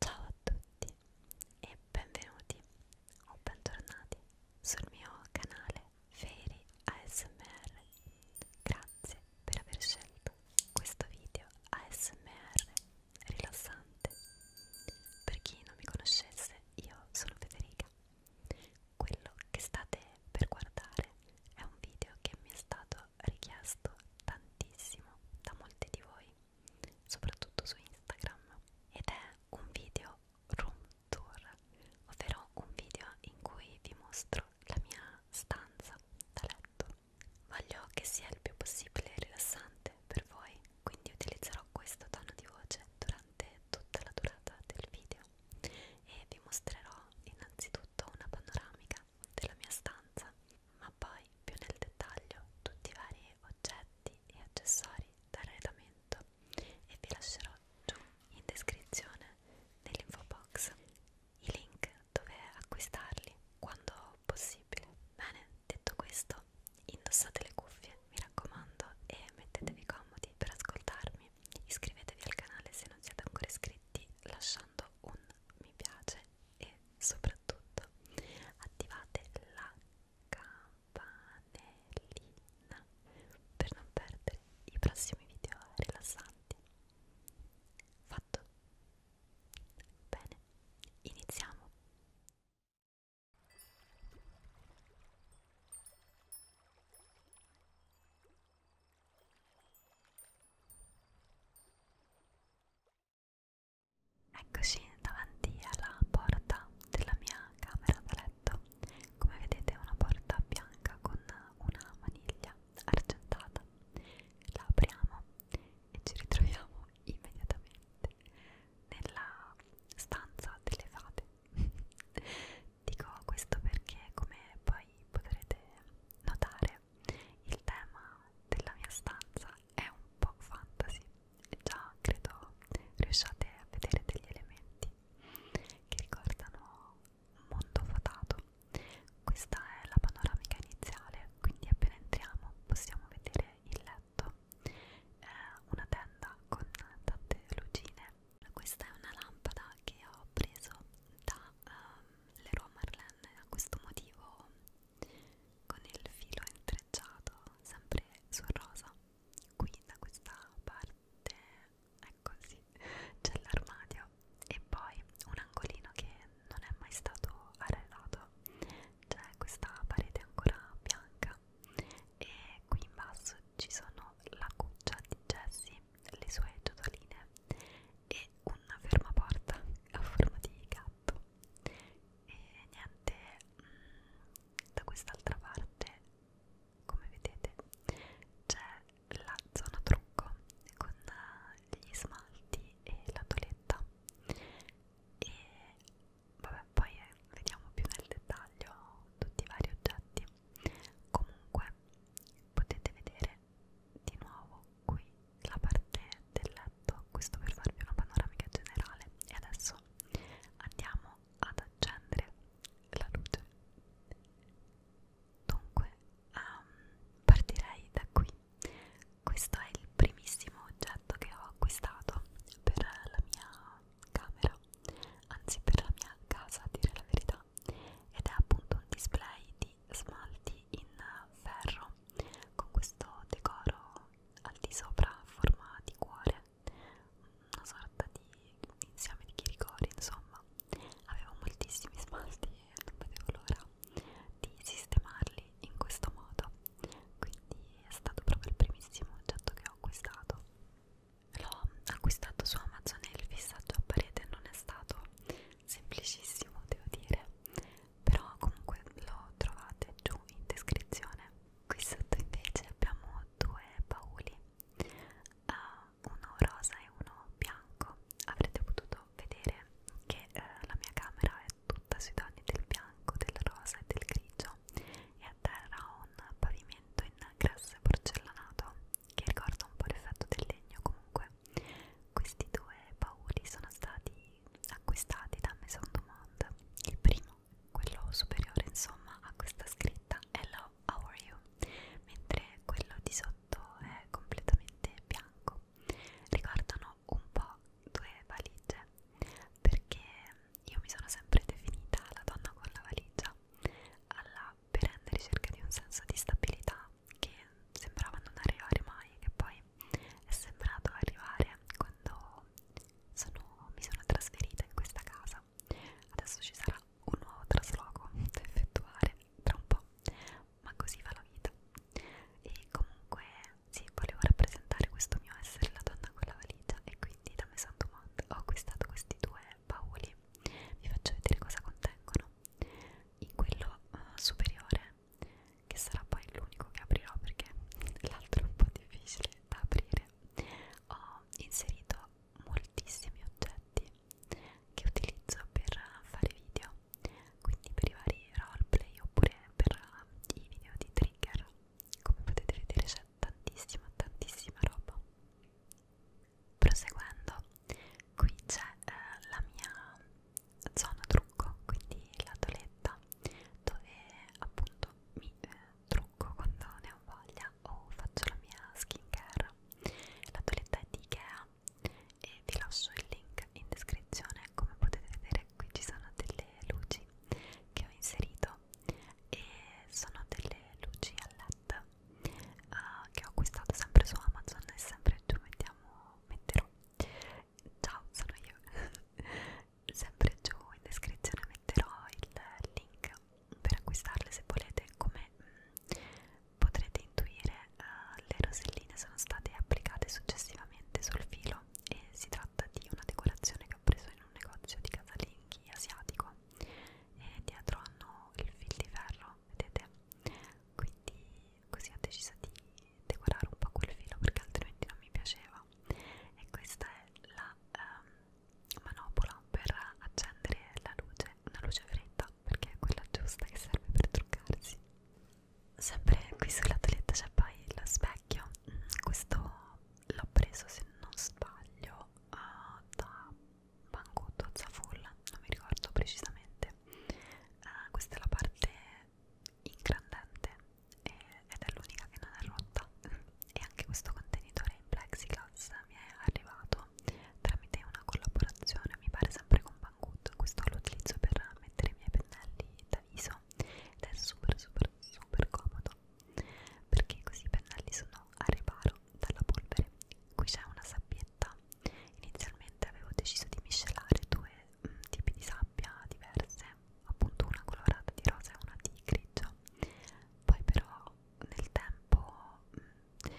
Ciao a tutti e benvenuti o bentornati sul mio canale Fairy ASMR. Grazie per aver scelto questo video ASMR rilassante. Per chi non mi conoscesse, io sono Federica. Quello che state per guardare è un video che mi è stato richiesto tantissimo da molti molti di voi, soprattutto su Instagram, ed è un video room tour, ovvero un video in cui vi mostro la mia stanza da letto. Voglio che sia il più possibile rilassante per voi, quindi utilizzerò questo tono di voce durante tutta la durata del video e vi mostrerò innanzitutto una panoramica della mia stanza ma poi più nel dettaglio tutti i vari oggetti e accessori d'arredamento e vi lascerò giù in descrizione nell'info box i link dove acquistarli quando possibile. Bene, detto questo, indossate le cuffie, mi raccomando, e mettetevi comodi per ascoltarmi. Iscrivetevi al canale se non siete ancora iscritti lasciando un mi piace e soprattutto attivate la campanellina per non perdere i prossimi video rilassanti. Fatto? Bene, iniziamo! Eccoci davanti alla porta della mia camera da letto. Come vedete è una porta bianca con una maniglia argentata. La apriamo e ci ritroviamo immediatamente nella stanza delle fate. Dico questo perché come poi potrete notare il tema della mia stanza è un po' fantasy e già credo riusciate a vedere degli elementi che ricordano un mondo fatato questa è la panoramica iniziale quindi appena entriamo possiamo vedere il letto eh, una tenda con tante lucine questa è una lampada che ho preso da um, Leroy Marlene a questo motivo con il filo intrecciato sempre sul rosa qui da questa parte è così ecco, c'è l'armadio e poi un angolino che non è mai stato arredato c'è questa parete ancora bianca e qui in basso ci sono la cuccia di Jessie le sue ciotoline e è una fermaporta a forma di gatto e niente mm, da quest'altra parte come vedete c'è la zona trucco con eh, gli smalti e la toletta e vabbè poi eh, vediamo più nel dettaglio tutti i vari oggetti comunque potete vedere è di nuovo qui la parte del letto, questo per farvi una panoramica generale e adesso andiamo ad accendere la luce. Dunque um, partirei da qui, questo è il primissimo oggetto che ho acquistato per la mia camera, anzi per la mia casa a dire la verità ed è appunto un display di smalti in ferro con questo decoro al di sopra a forma di cuore una sorta di insieme di chiricori insomma avevo moltissimi smalti e non vedevo l'ora di sistemarli in questo modo quindi è stato proprio il primissimo oggetto che ho acquistato l'ho acquistato su Amazon e il fissaggio a parete non è stato semplicissimo devo dire però comunque lo trovate giù in descrizione qui sotto invece abbiamo due bauli uh, uno rosa e uno bianco avrete potuto vedere che uh, la mia camera è tutta sui toni del bianco del rosa e del grigio e a terra ho un pavimento in grasso e porcellanato che ricorda un po' l'effetto del legno comunque questi due bauli sono stati acquistati da Maison du Monde. Il primo, quello superiore insomma, a questa scritta Hello, how are you? Mentre quello di sotto è completamente bianco. Ricordano un po' due valigie perché io mi sono sempre definita la donna con la valigia alla perenne ricerca di un senso di stabilità che sembrava non arrivare mai e poi è sembrato arrivare quando sono, mi sono trasferita in questa casa adesso ci sarà un nuovo trasloco da effettuare tra un po' ma così va la vita e comunque sì, volevo rappresentare questo mio essere la donna con la valigia e quindi da Maison du Monde ho acquistato questi due bauli vi faccio vedere cosa contengono in quello uh, superiore che sarà poi l'unico che aprirò perché l'altro è un po' difficile da aprire ho inserito moltissimi oggetti che utilizzo per fare video quindi per i vari roleplay oppure per i video di trigger come potete vedere c'è tantissima tantissima roba proseguendo qui c'è eh, la mia zona trucco, quindi la toletta dove appunto mi eh, trucco quando ne ho voglia o faccio la mia skincare. La toletta è di Ikea e vi lascio il link in descrizione. Come potete vedere qui ci sono delle luci che ho inserito e sono delle luci a LED uh, che ho acquistato sempre su Amazon e sempre giù mettiamo metterò Ciao, sono io. Sempre giù in descrizione metterò il link per acquistarle se volete. Come mm, potrete intuire, uh, le roselline sono state applicate successivamente sul filo e si tratta di una decorazione che ho preso in un negozio di casalinghi asiatico e dietro hanno il fil di ferro, vedete? Quindi così ho deciso di decorare un po' quel filo perché altrimenti non mi piaceva e questa è la um, manopola per accendere la luce, una luce fredda perché è quella giusta che serve per truccarsi sempre qui sulla toiletta c'è poi lo specchio mm, questo l'ho preso se non sbaglio uh, da Banco Dozza Full non mi ricordo precisamente uh, questa è la parte ingrandente e, eh, ed è l'unica che non è rotta e anche questo contenitore in plexiglass mi è arrivato tramite una collaborazione mi pare sempre con Banggood questo lo utilizzo per mettere i miei pennelli da viso ed è super super super comodo perché così i pennelli sono a riparo dalla polvere qui c'è una sabbietta sabbetta inizialmente avevo deciso di miscelare due mh, mm, tipi di sabbia diverse appunto una colorata di rosa e una di grigio poi però nel tempo mh, mm,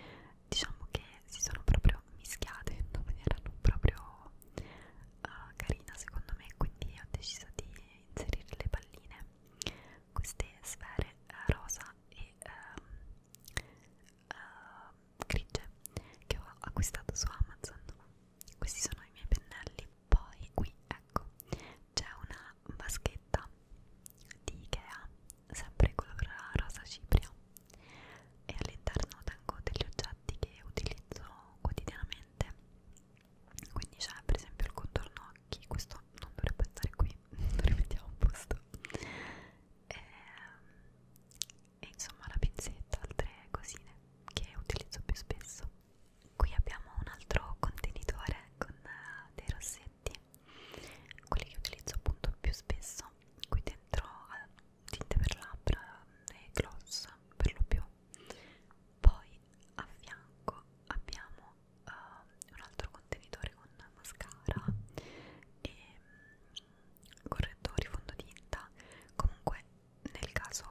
diciamo che si sono proprio mischiate non erano proprio uh, carina secondo me quindi ho deciso di inserire le palline queste sfere uh, rosa e um, uh, grigie che ho acquistato su Amazon questi sono i miei pennelli poi qui ecco c'è una vaschetta di Ikea sempre color rosa cipria e all'interno tengo degli oggetti che utilizzo quotidianamente quindi c'è per esempio il contorno occhi questo non dovrebbe stare qui lo rimettiamo a posto e, ehm, e insomma la pinzetta, altre cosine che utilizzo più spesso. Qui abbiamo un altro contenitore con eh, dei rossetti, quelli che utilizzo appunto più spesso, qui dentro eh, tinte per labbra mm, e gloss per lo più. Poi a fianco abbiamo uh, un altro contenitore con mascara e mm, correttori fondotinta comunque nel caso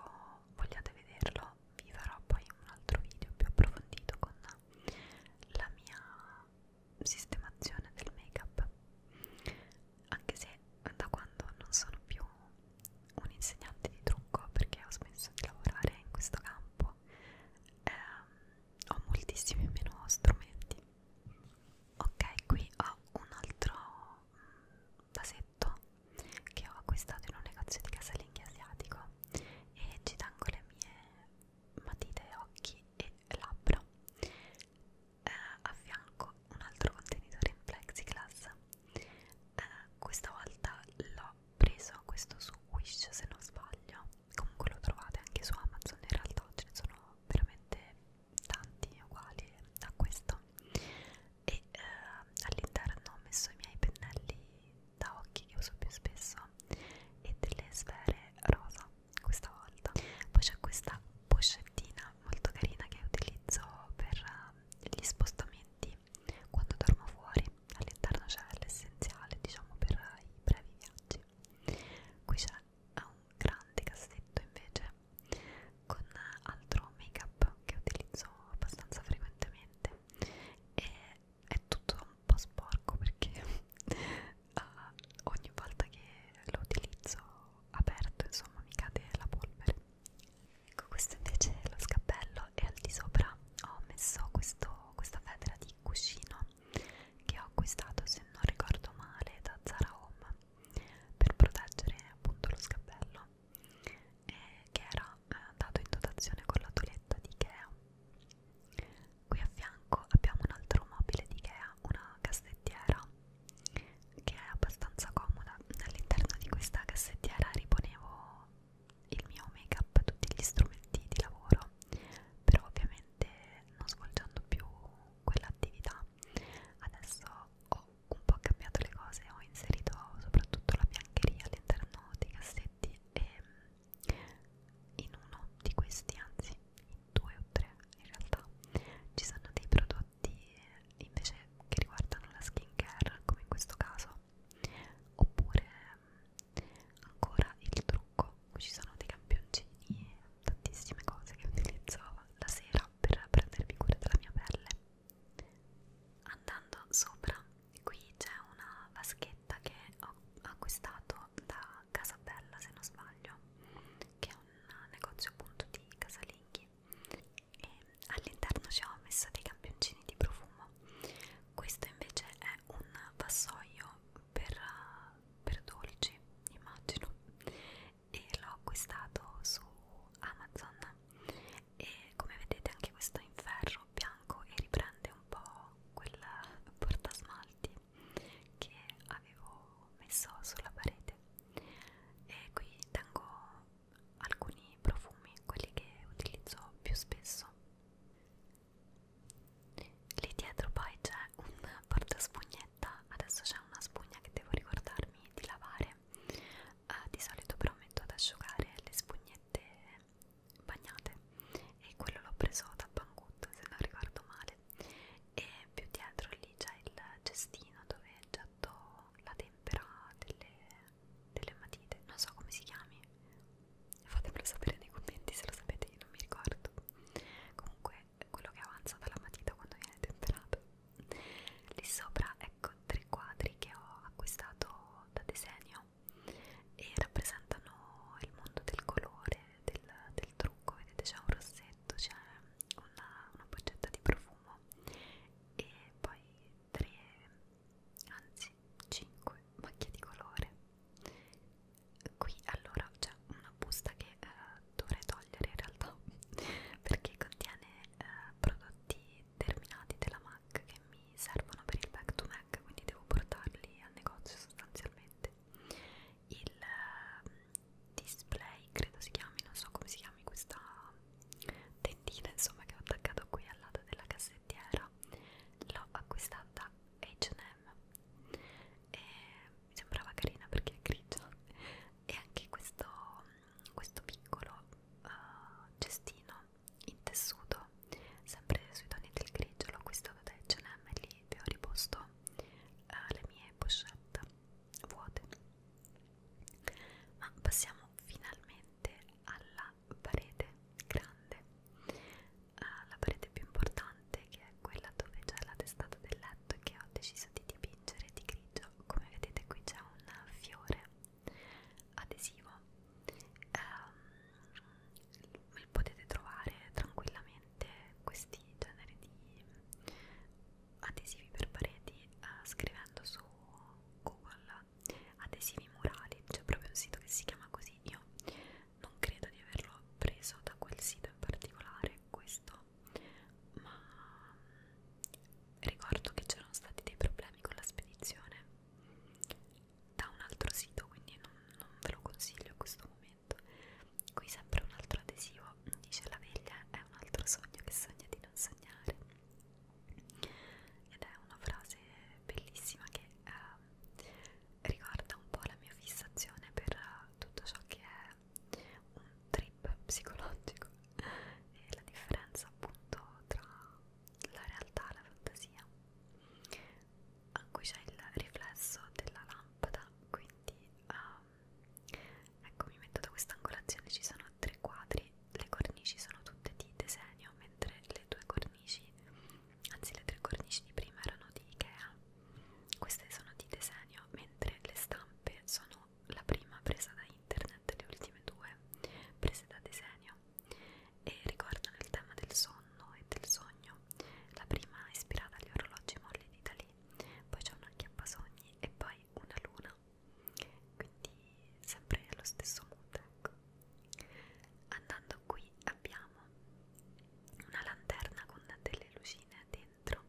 vogliate vederlo vi farò poi un altro video più approfondito con la mia sistemazione del make up anche se da quando non sono più un insegnante di trucco perché ho smesso di lavorare in questo campo ehm, ho moltissimi meno strumenti ok qui ho un altro mm, vasetto che ho acquistato in un negozio di casalinghi asiatico e ci tengo le mie matite, occhi e labbra eh, a fianco un altro contenitore in plexiglass eh, questa volta l'ho preso questo su Wish se non sbaglio comunque lo trovate anche su Amazon in realtà oggi ne sono veramente tanti uguali a questo e eh, all'interno ho messo i miei pennelli da occhi che uso più spesso e delle sfere rosa questa volta poi c'è questa boccettina molto carina che utilizzo per eh, gli spostamenti quando dormo fuori all'interno c'è l'essenziale diciamo per i brevi viaggi qui c'è ha un grande cassetto invece con altro make up che utilizzo abbastanza frequentemente e è tutto un po' sporco perché uh, ogni volta che lo utilizzo aperto insomma mi cade la polvere ecco questo invece è lo scappello e al di sopra ho messo questo, questa federa di cuscino che ho acquistato se non ricordo male da Zara Home per proteggere appunto lo scappello eh, che era eh, dato in dotazione con la toglietta di Ikea qui a fianco abbiamo un altro mobile di Ikea una cassettiera che è abbastanza comoda all'interno di questa cassettiera riponevo il mio make up tutti gli strumenti di lavoro però ovviamente non svolgendo più quell'attività adesso ho un po' cambiato le cose ho inserito soprattutto la biancheria all'interno dei cassetti e mm, in uno di questi anzi in due o tre in realtà ci sono dei prodotti invece che riguardano la skincare come in questo caso oppure mm, ancora il trucco Marocco, qui ci sono dei campioncini e tantissime cose che utilizzavo la sera per prendermi cura della mia pelle. Andando sopra, qui c'è una vaschetta che ho acquistato da Casabella, se non sbaglio, che è un negozio appunto di casalinghi e all'interno ci ho messo dei campioncini di profumo. Questo invece è un vassoio per, per dolci immagino e l'ho acquistato su Amazon e come vedete anche questo è in ferro bianco e riprende un po' quel portasmalti che avevo messo sulla parete e qui tengo alcuni profumi, quelli che utilizzo più spesso lì dietro poi c'è un portaspugnette maglietta adesso c'è una spugna che devo ricordarmi di lavare uh, di solito però metto ad asciugare le spugnette bagnate e quello l'ho preso da Banggood se non ricordo male e più dietro lì c'è il cestino dove getto la tempera delle, delle matite non so come si chiami fatemelo sapere nei commenti se lo sapete io non mi ricordo comunque quello che avanza dalla matita quando viene temperato lì sopra ecco tre quadri che ho acquistato da disegno e rappresentano il mondo del colore del, del trucco vedete c'è un rossetto c'è una, una boccetta di profumo e poi tre anzi 5 macchie di colore qui allora c'è una busta che eh, dovrei togliere in realtà perché contiene eh, prodotti terminati della MAC che mi servono per il back to MAC quindi devo portarli al negozio sostanzialmente il eh, display credo si chiami non so come si chiami questa tentina insomma che ho attaccato qui al lato della cassettiera l'ho acquistata da H&M e mi sembrava carina perché è grigia e anche questo, questo piccolo uh, cestino in tessuto sempre sui toni del grigio l'ho acquistato da H&M e lì vi ho riposto uh, le mie pochette vuote ma passiamo finalmente alla parete grande uh, la parete più importante importante che è quella dove c'è la testata del letto che ho deciso di dipingere di grigio come vedete qui c'è un fiore adesivo um, potete trovare tranquillamente questi generi di adesivi per pareti uh, scrivendo su Google adesivi murali c'è proprio un sito che si chiama così io non credo di averlo preso da quel sito in particolare questo ma mm, ricordo che c'erano stati dei problemi con la spedizione da un altro sito quindi non, non ve lo consiglio a questo momento qui sempre un altro adesivo dice la veglia è un altro sogno che sogna di non sognare ed è una frase bellissima che eh, ricorda un po' la mia fissazione per tutto ciò che è un trip psicologico e la differenza appunto tra la realtà e la fantasia a cui c'è il riflesso della lampada quindi um, ecco mi metto da questa angolazione ci sono tre quadri le cornici sono tutte di disegno mentre le due cornici anzi le tre cornici di prima erano di Ikea queste sono di disegno, mentre le stampe sono la prima presa da internet, le ultime due prese da disegno e riguardano il tema del sonno e del sogno. La prima è ispirata agli orologi molli di Dalì, poi c'è una chiappasogni e poi una luna. Quindi sempre lo stesso mood, ecco. Andando qui abbiamo una lanterna con delle lucine dentro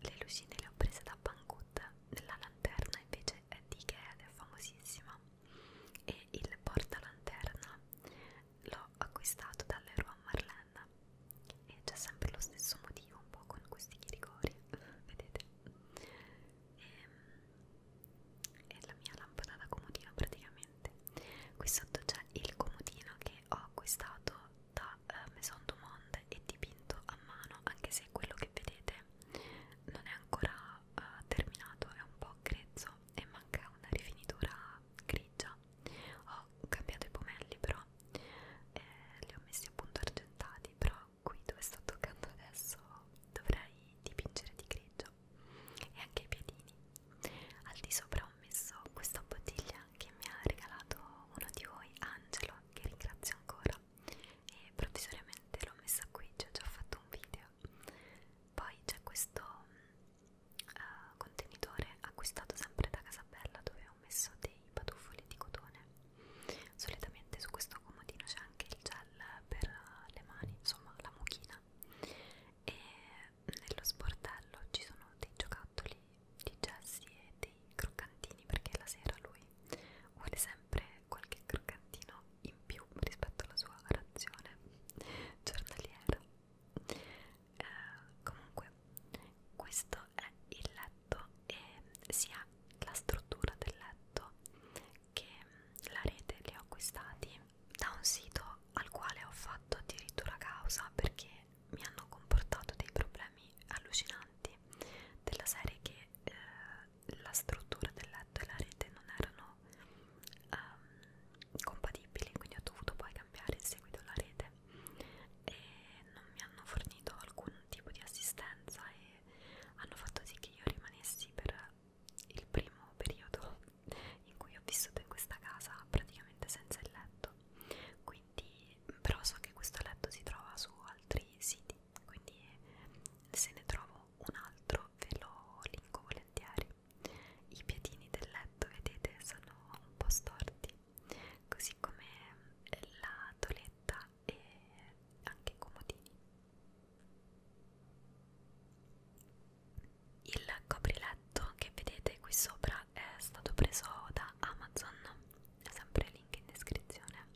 le lucine le ho prese da Banggood la lanterna invece è di Ikea ed è famosissima e il portalanterna l'ho acquistato dall'Eroe a Marlena e c'è sempre lo stesso motivo un po' con questi chiricori vedete e, ehm, e la mia lampada da comodino praticamente qui sotto c'è il comodino che che ho acquistato da eh, Maison du Monde e dipinto a mano anche se quello che vedete non è ancora eh, terminato è un po' grezzo e manca una rifinitura grigia ho cambiato i pomelli però eh, li ho messi appunto argentati però qui dove sto toccando adesso dovrei dipingere di grigio e anche i piedini al di sopra ho messo questa bottiglia che mi ha regalato uno di voi, Angelo, che ringrazio ancora e provvisoriamente l'ho messa qui, cioè già ho fatto un video. Poi c'è questo uh, contenitore acquistato sempre da Casabella dove ho messo dei patufoli di cotone. Solitamente su questo comodino c'è anche il gel per le mani, insomma la mucchina. E nello sportello ci sono dei giocattoli di Jessie e dei croccantini perché la sera lui vuole sempre qualche croccantino in più rispetto alla sua razione giornaliera eh, comunque questo è il letto e sia la struttura del letto che la rete li ho acquistati da un sito al quale ho fatto addirittura causa perché mi hanno comportato dei problemi allucinanti della serie che eh, la struttura del letto e la rete non erano um, compatibili quindi ho dovuto poi cambiare in seguito la rete e non mi hanno fornito alcun tipo di assistenza e hanno fatto sì che io rimanessi per il primo periodo in cui ho vissuto in questa casa praticamente senza il letto quindi però so che questo letto si trova su altri siti quindi se ne trovo un altro ve lo linko volentieri i piedini del letto vedete sono un po' storti così come la toletta e anche i comodini il copriletto che vedete qui sopra è stato preso da Amazon, è sempre link in descrizione.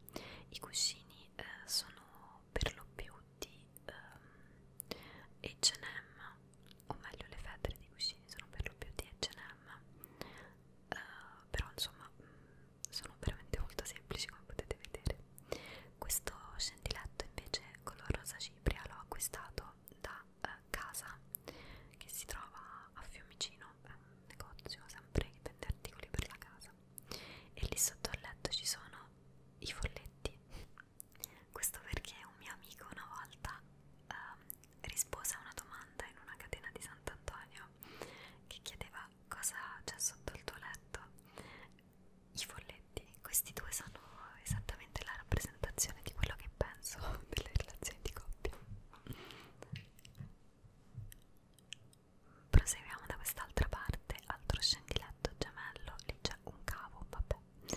I cuscini eh, sono per lo più di eh, HM, o meglio, le fette di cuscini sono per lo più di HM, eh, però insomma mm, sono veramente molto semplici come potete vedere. Questo scendiletto invece color rosa cipria l'ho acquistato acquisto da eh, casa che si trova a Fiumicino, è un negozio sempre che vende articoli per la casa e lì sotto al letto ci sono i folletti questo perché un mio amico una volta ehm, rispose a una domanda in una catena di Sant'Antonio che chiedeva cosa c'è sotto il tuo letto i folletti, questi due sono esattamente la rappresentazione di quello che penso delle relazioni di coppia. Proseguiamo da quest'altra parte, altro scendiletto gemello, lì c'è un cavo, vabbè. E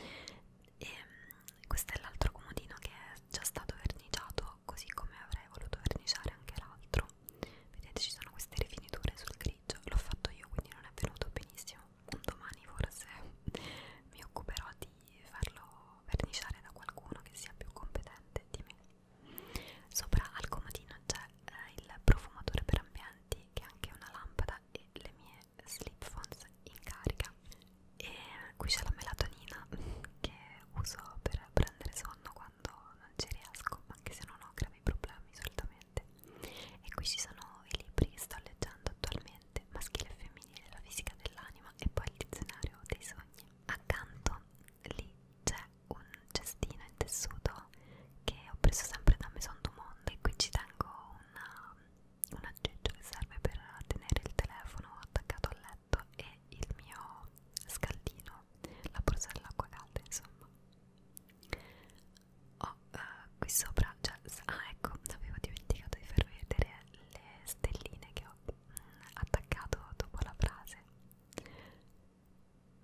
ehm, questo è l'altro comodino che è già stato verniciato, così come avrei voluto verniciare anche l'altro. Vedete, ci sono queste rifiniture sul grigio, l'ho fatto io, quindi non è venuto benissimo un domani forse mi occuperò di farlo verniciare da qualcuno che sia più competente di me sopra al comodino c'è eh, il profumatore per ambienti che è anche una lampada e le mie slip phones in carica e qui c'è la melatonina che uso per prendere sonno quando non ci riesco anche se non ho gravi problemi solitamente e qui ci sono i libri che sto leggendo attualmente mente, maschile e femminile, la fisica dell'anima e poi il dizionario dei sogni. Accanto lì c'è un cestino in tessuto che ho preso sempre da Maison du Monde e qui ci tengo una, un aggeggio che serve per tenere il telefono attaccato al letto e il mio scaldino, la borsa dell'acqua calda insomma. Ho oh, uh, qui sopra, cioè, ah ecco, avevo dimenticato di far vedere le stelline che ho mm, attaccato dopo la frase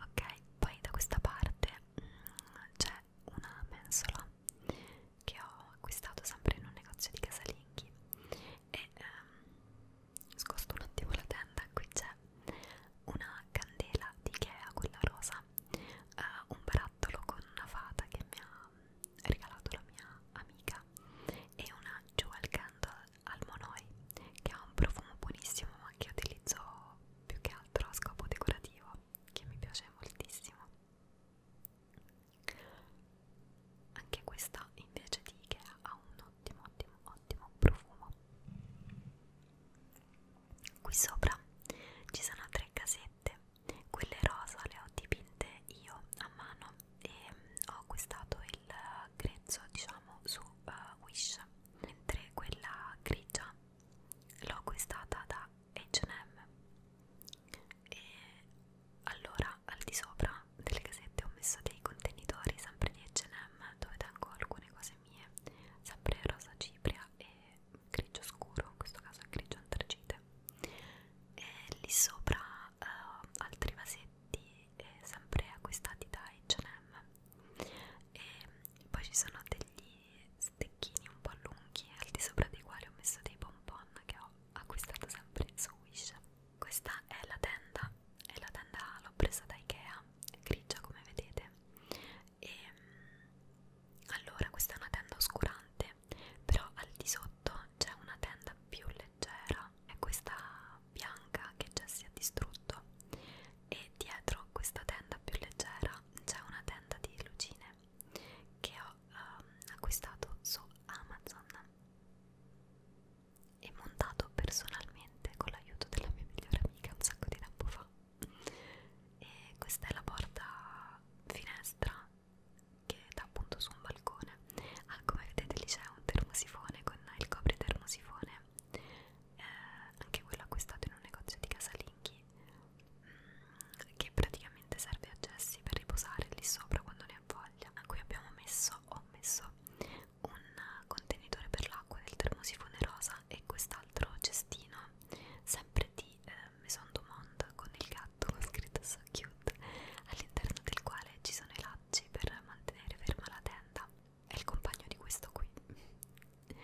ok poi da questa parte mm, c'è una mensola che ho acquistato sempre in un negozio di casalinghi e ehm, scosto un attimo la tenda qui c'è una candela di Ikea quella rosa eh, un barattolo con una fata che mi ha regalato la mia amica è una Jewel Candle al Monoi che ha un profumo buonissimo ma che utilizzo più che altro a scopo decorativo che mi piace moltissimo anche questa invece di Ikea ha un ottimo ottimo ottimo profumo qui sopra ci sono tre casette magliette quelle rosa le ho dipinte io a mano e mm, ho acquistato il eh, grezzo diciamo su uh, Wish mentre quella grigia l'ho acquistata da H&M e allora al di sopra delle casette ho messo dei contenitori sempre di H&M dove tengo alcune cose mie sempre rosa cipria e grigio scuro, in questo caso è grigio antracite e lì sopra uh, altri vasetti eh, sempre acquistati da H&M e poi ci sono degli stecchini un po' lunghi al di sopra dei quali ho messo dei bonbon che ho acquistato sempre su Wish questa è la tenda e la tenda l'ho presa da Ikea è grigia come vedete e allora questa è una tenda oscurante però al di sotto c'è una tenda più leggera è questa bianca che già si è distrutto e dietro questa tenda più leggera c'è una tenda di lucine che ho um, acquistato su Amazon e montato personalmente con l'aiuto della mia migliore amica un sacco di tempo fa e questa è la porta finestra che dà appunto su un balcone ah come vedete lì c'è un termosifone con il copri termosifone eh, anche quello acquistato in un negozio di casalinghi mm, che praticamente serve a Jessie per riposare lì sopra quando ne ha voglia a cui abbiamo messo ho messo un contenitore per l'acqua del termosifone rosa e quest'altro cestino sempre di di eh, Maison du Monde con il gatto con scritto So Cute, all'interno del quale ci sono i lacci per mantenere ferma la tenda. È il compagno di questo qui.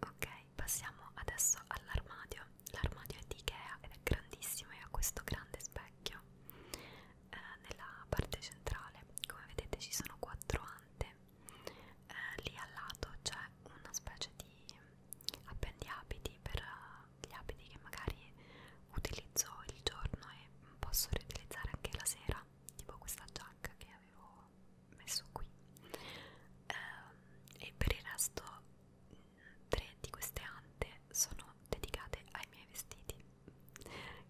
ok, passiamo adesso all'armadio. L'armadio è di Ikea ed è grandissimo e ha questo grande specchio eh, nella parte centrale. Come vedete ci sono quattro ante. Eh, lì al lato c'è una specie di appendiabiti per eh, gli abiti che magari utilizzo il giorno e posso riutilizzare anche la sera, tipo questa giacca che avevo messo qui. Ehm, e per il resto, tre di queste ante sono dedicate ai miei vestiti,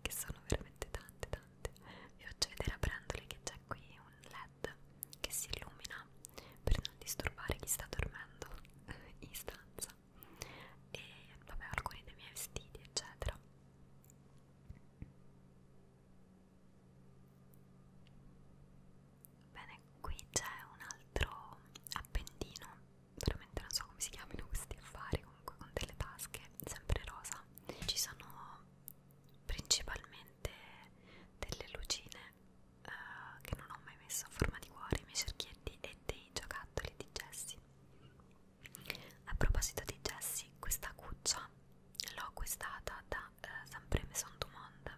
che sono veramente tante, tante. Vi faccio vedere aprendole che c'è qui un LED che si illumina per non disturbare chi sta dormendo in stanza e vabbè alcuni dei miei vestiti eccetera bene qui c'è un altro appendino veramente non so come si chiamino questi affari comunque con delle tasche sempre rosa ci sono principalmente delle lucine uh, che non ho mai messo a forma di cuore, i miei cerchietti e dei giocattoli di Jessie. A proposito di Jessie, questa cuccia l'ho acquistata da uh, eh, Sempre Maison du Monde.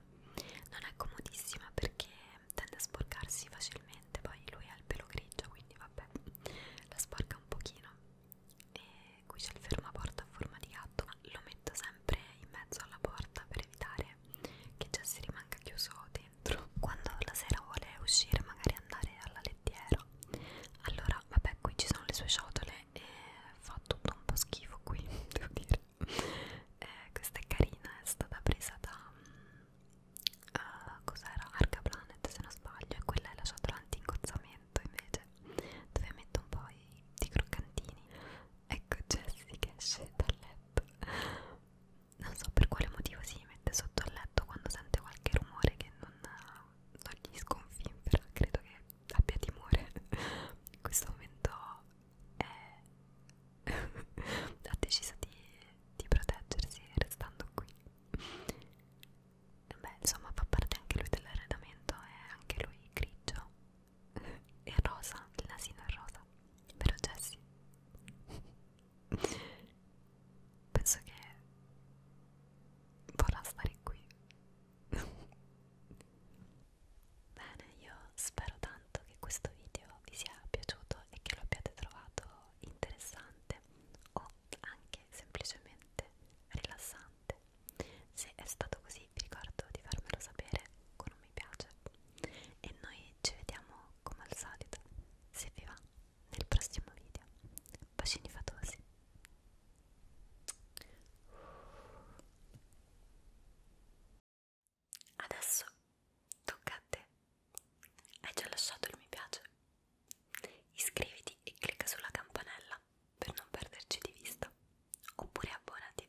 Non è comodissima perché tende a sporcarsi facilmente, poi lui ha il pelo grigio, quindi vabbè, la sporca un pochino. E qui c'è il fermaporta a forma di gatto, ma lo metto sempre in mezzo alla porta per evitare che già si rimanga chiuso dentro quando la sera vuole uscire magari andare all'alettiero allora vabbè qui ci sono le sue ciotole e fa tutto un po' schifo qui devo dire eh, questa è carina è stata presa da uh, cos'era Arca Planet se non sbaglio e quella è la ciotola anti ingozzamento invece dove metto un po' i, i croccantini ecco Jessie che esce dal letto non so per quale motivo si mette sotto al letto quando sente qualche rumore che non, non gli sconfinfera credo che abbia timore in questo momento è ha deciso di, di proteggersi restando qui beh insomma fa parte anche lui dell'arredamento è anche lui grigio è rosa, il nasino è rosa, vero Jessie? Penso che vorrà stare qui. Bene, io spero tanto che questo video vi sia piaciuto e che lo abbiate trovato interessante o anche semplicemente rilassante. Se è stato così vi ricordo di farmelo sapere con un mi piace e noi ci vediamo come al solito, se vi va, nel prossimo video. Bacini fatosi! Adesso tocca a te. Hai già lasciato il mi piace? Iscriviti e clicca sulla campanella per non perderci di vista. Oppure abbonati